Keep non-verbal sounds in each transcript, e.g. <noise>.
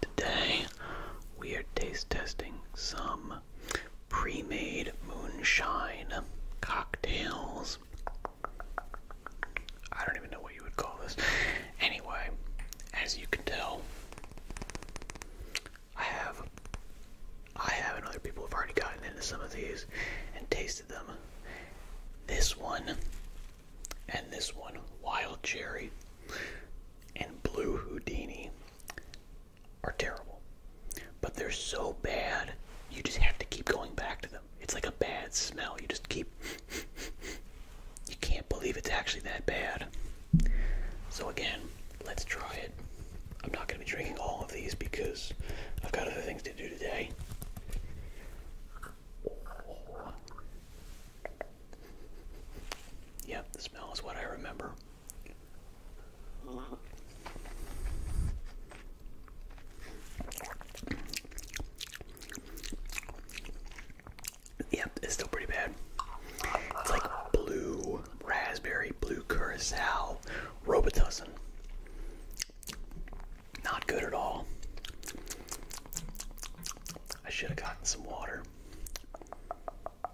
Today, we are taste testing some pre made moonshine cocktails. I don't even know what you would call this. Anyway, as you can tell, I have. I have and other people have already gotten into some of these and tasted them. This one and this one, wild cherry and Blue Houdini are terrible. But they're so bad, you just have to keep going back to them. It's like a bad smell. You just keep. <laughs> you can't believe it's actually that bad. So, again, let's try it. I'm not going to be drinking all of these because I've got other things to do today. Yep, the smell is what I remember. Yep, it's still pretty bad. It's like blue raspberry, blue curacao, Robitussin. Not good at all. I should have gotten some water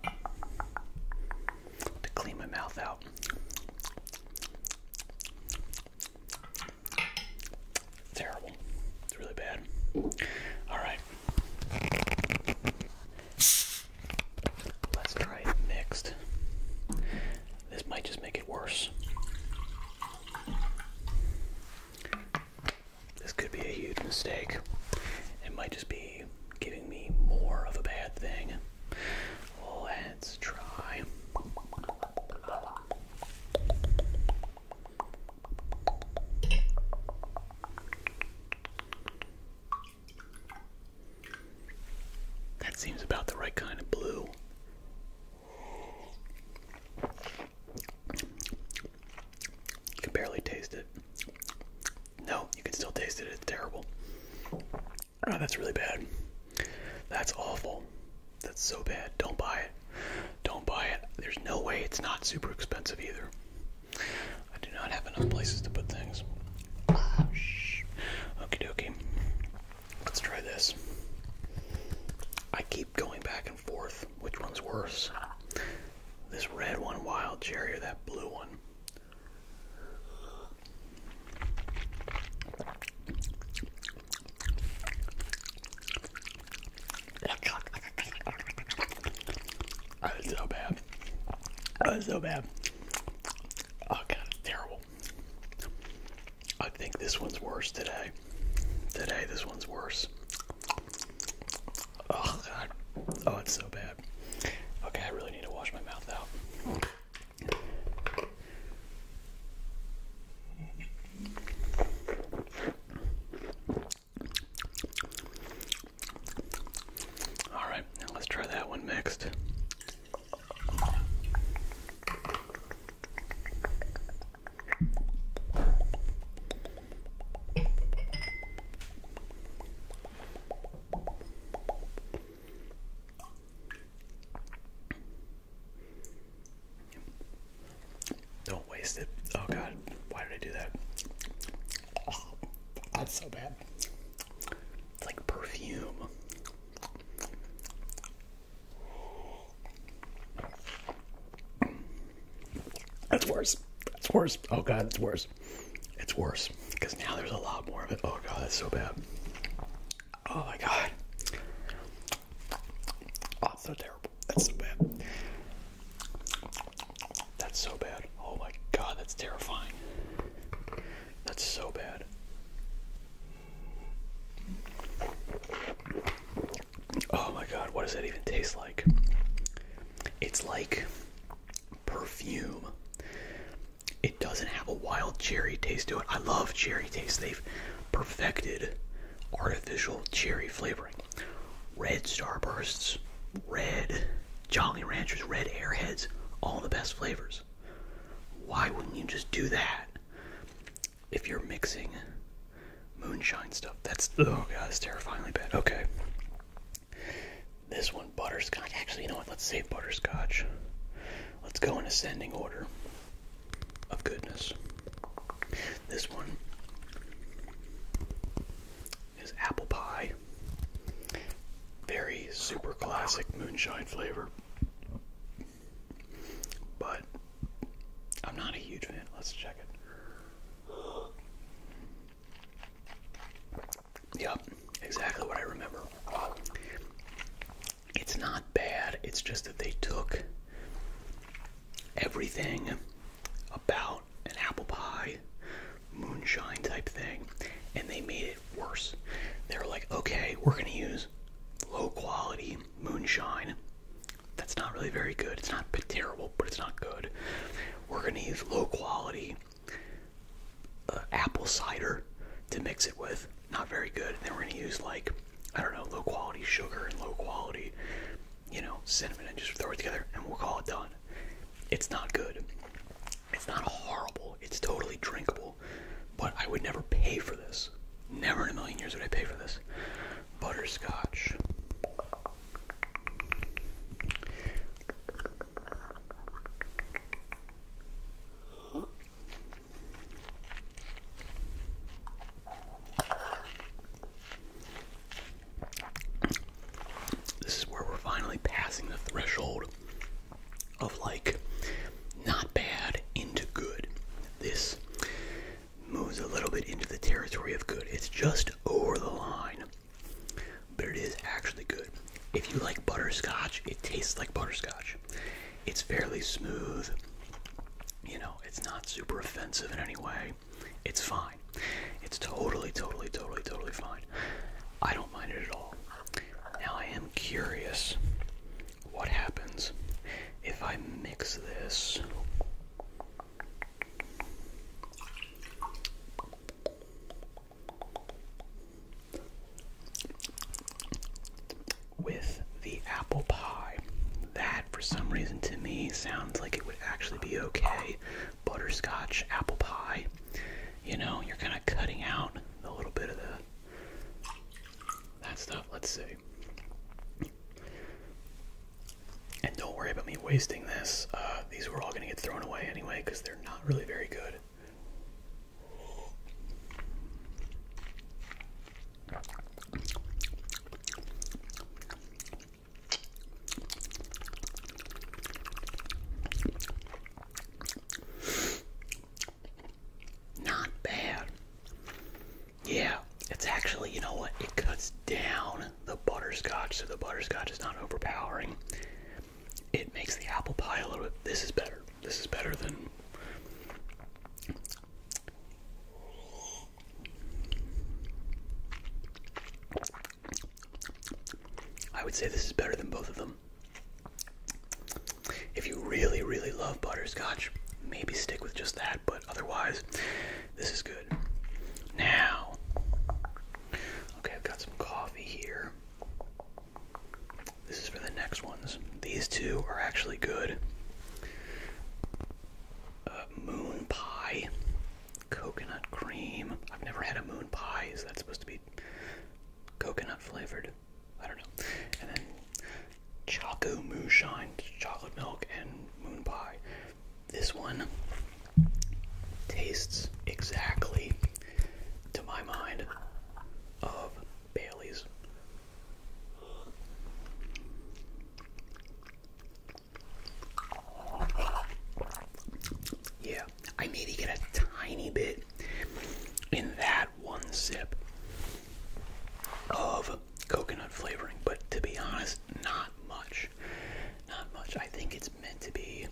to clean my mouth out. Terrible. It's really bad. Alright. Let's try it mixed. This might just make it worse. This could be a huge mistake. It might just be giving me more of a bad thing. Let's try. That seems about the right kind of blue. You can barely taste it. No, you can still taste it. It's terrible. Oh, that's really bad. That's awful. That's so bad. Don't buy it. Don't buy it. There's no way it's not super expensive either. I do not have enough places to put things. Ah, shh. Okie dokie. Let's try this. I keep going back and forth. Which one's worse? This red one, wild cherry, or that blue one? That is so bad. That is so bad. Oh god, terrible. I think this one's worse today. Today, this one's worse. Oh, God. Oh, it's so bad. Okay, I really need to wash my mouth out. All right, let's try that one next. Don't waste it. Oh god, why did I do that? that's so bad. It's like perfume. That's worse. That's worse. Oh god, it's worse. It's worse because now there's a lot more of it. Oh god, that's so bad. Oh my god. Oh, so terrible. That's so bad. That's so bad. Oh my god, that's terrifying. That's so bad. Oh my god, what does that even taste like? It's like perfume. It doesn't have a wild cherry taste to it. I love cherry taste. They've perfected artificial cherry flavoring. Red Starbursts, red Jolly Ranchers, red Airheads, all the best flavors. Why wouldn't you just do that? If you're mixing moonshine stuff, that's oh god, that's terrifyingly bad. Okay. This one, butterscotch. Actually, you know what? Let's save butterscotch. Let's go in ascending order of goodness. This one is apple pie. Very super classic moonshine flavor. But I'm not a huge fan. Let's check it. Yep, exactly what I remember. It's not bad, it's just that they took everything about an apple pie moonshine type thing and they made worse. They are like, okay, we're going to use low quality moonshine. That's not really very good. It's not terrible, but it's not good. We're going to use low quality uh, apple cider to mix it with. Not very good. then we're going to use like, I don't know, low quality sugar and low quality, you know, cinnamon and just throw it together and we'll call it done. It's not good. It's not horrible. It's totally drinkable. But I would never pay for this. Never in a million years would I pay for this. Butterscotch. This is where we're finally passing the threshold of like not bad into good. This moves a little bit into the territory of good. It's just over the line, but it is actually good. If you like butterscotch, it tastes like butterscotch. It's fairly smooth. You know, it's not super offensive in any way. It's fine. It's totally, totally, totally, totally fine. I don't mind it at all. Now I am curious what happens if I mix this with the apple pie. That for some reason to me sounds like it would actually be okay butterscotch, apple pie. You know, you're kind of cutting out a little bit of the that stuff. Let's see. And don't worry about me wasting this. Uh, these were all going to get thrown away anyway because they're not really very good. Not bad. Yeah, it's actually, you know what? It cuts down the butterscotch, so the butterscotch is not overpowering. It makes the apple pie a little bit. This is better. This is better than. I would say this is better than both of them. If you really, really love butterscotch, maybe stick with just that, but otherwise, this is good. Now, okay, I've got some coffee here. This is for the next ones. These two are actually good. Uh, moon pie coconut cream. I've never had a moon pie. Is that supposed to be coconut flavored? I don't know. And then Choco Moonshine, chocolate milk, and moon pie. This one tastes exactly, to my mind, of Bailey's. Yeah, I maybe get a tiny bit in that one sip of coconut flavoring, but to be honest, not much. Not much. I think it's meant to be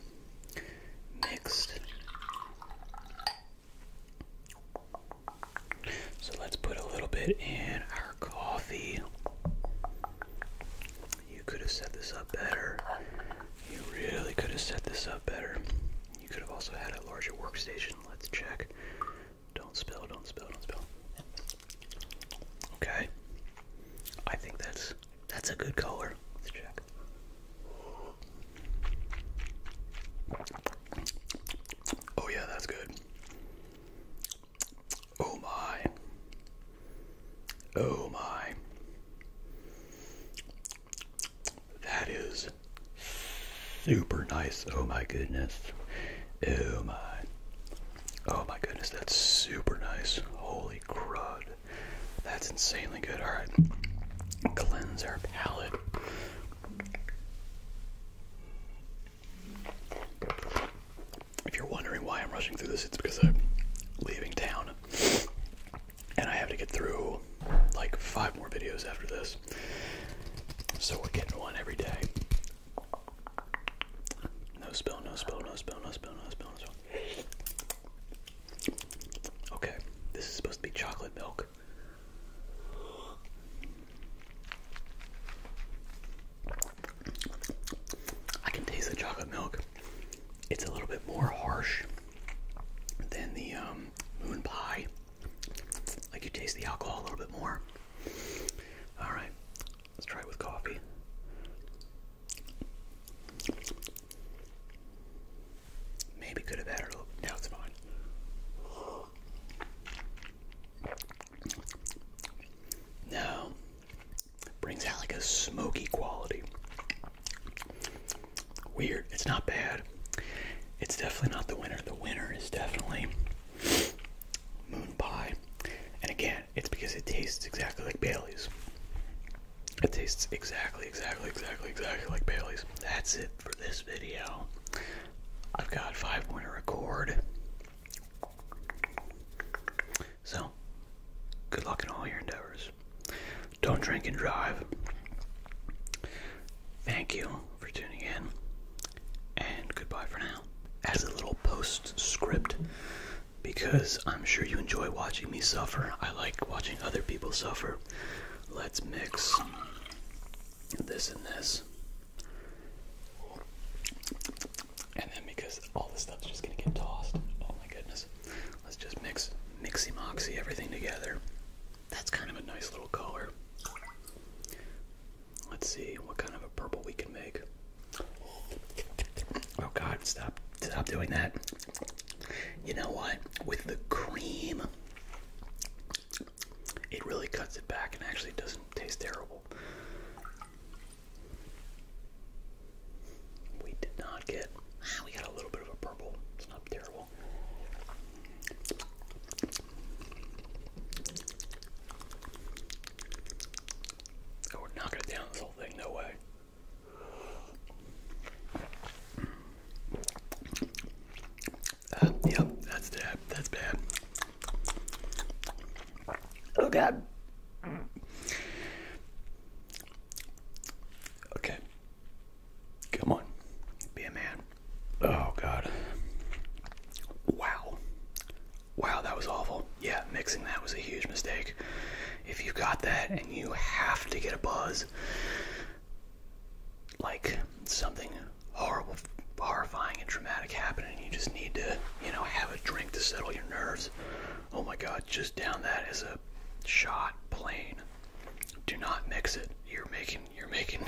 mixed. So let's put a little bit in our coffee. You could have set this up better. You really could have set this up better. You could have also had a larger workstation. Let's check. Don't spill, don't spill, don't spill. Okay. I think that's that's a good color. Let's check. Oh yeah, that's good. Oh my. Oh my. That is super nice. Oh my goodness. Oh my. Oh my goodness, that's super nice. Holy crud. That's insanely good. Alright. Cleanse our palate. If you're wondering why I'm rushing through this, it's because I'm leaving town. And I have to get through like five more videos after this. So we're getting one every day. No spill, no spill, no spill, no spill, no spill, no spill. Okay, this is supposed to be chocolate milk. I can taste the chocolate milk. It's a little bit more harsh than the um, moon pie. Like you taste the alcohol a little bit more. All right, let's try it with coffee. Maybe could have added a little. No, it's fine. Now, brings out like a smoky quality. Weird. It's not bad. It's definitely not the winner. The winner is definitely moon pie. And again, it's because it tastes exactly like Bailey's. It tastes exactly, exactly, exactly, exactly like Bailey's. That's it for this video. I've got five more to record. So, good luck in all your endeavors. Don't drink and drive. Thank you for tuning in, and goodbye for now. As a little postscript, because I'm sure you enjoy watching me suffer, I like watching other people suffer. Let's mix this and this. And then because all this stuff's just gonna get tossed. Oh my goodness. Let's just mix mixy moxy everything together. That's kind of a nice little color. Let's see what kind of a purple we can make. Oh god, stop stop doing that. You know what? With the cream it really cuts it back and actually doesn't taste terrible. We did not get, ah, we got a little bit of a purple. It's not terrible. Oh, we're not going to down this whole thing, no way. Uh, yep, that's bad. That's bad. Oh God. Okay. Come on. Be a man. Oh God. Wow. Wow, that was awful. Yeah, mixing that was a huge mistake. If you got that and you have to get a buzz, like something horrible, horrifying, and traumatic happening. you just need to, you know, have a drink to settle your nerves. Oh my God! Just down that is a shot plain. Do not mix it. You're making you're making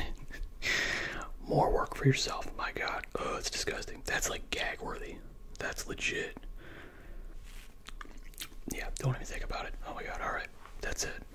<laughs> more work for yourself. My God! Oh, it's disgusting. That's like gag worthy. That's legit. Yeah, don't even think about it. Oh my God! All right, that's it.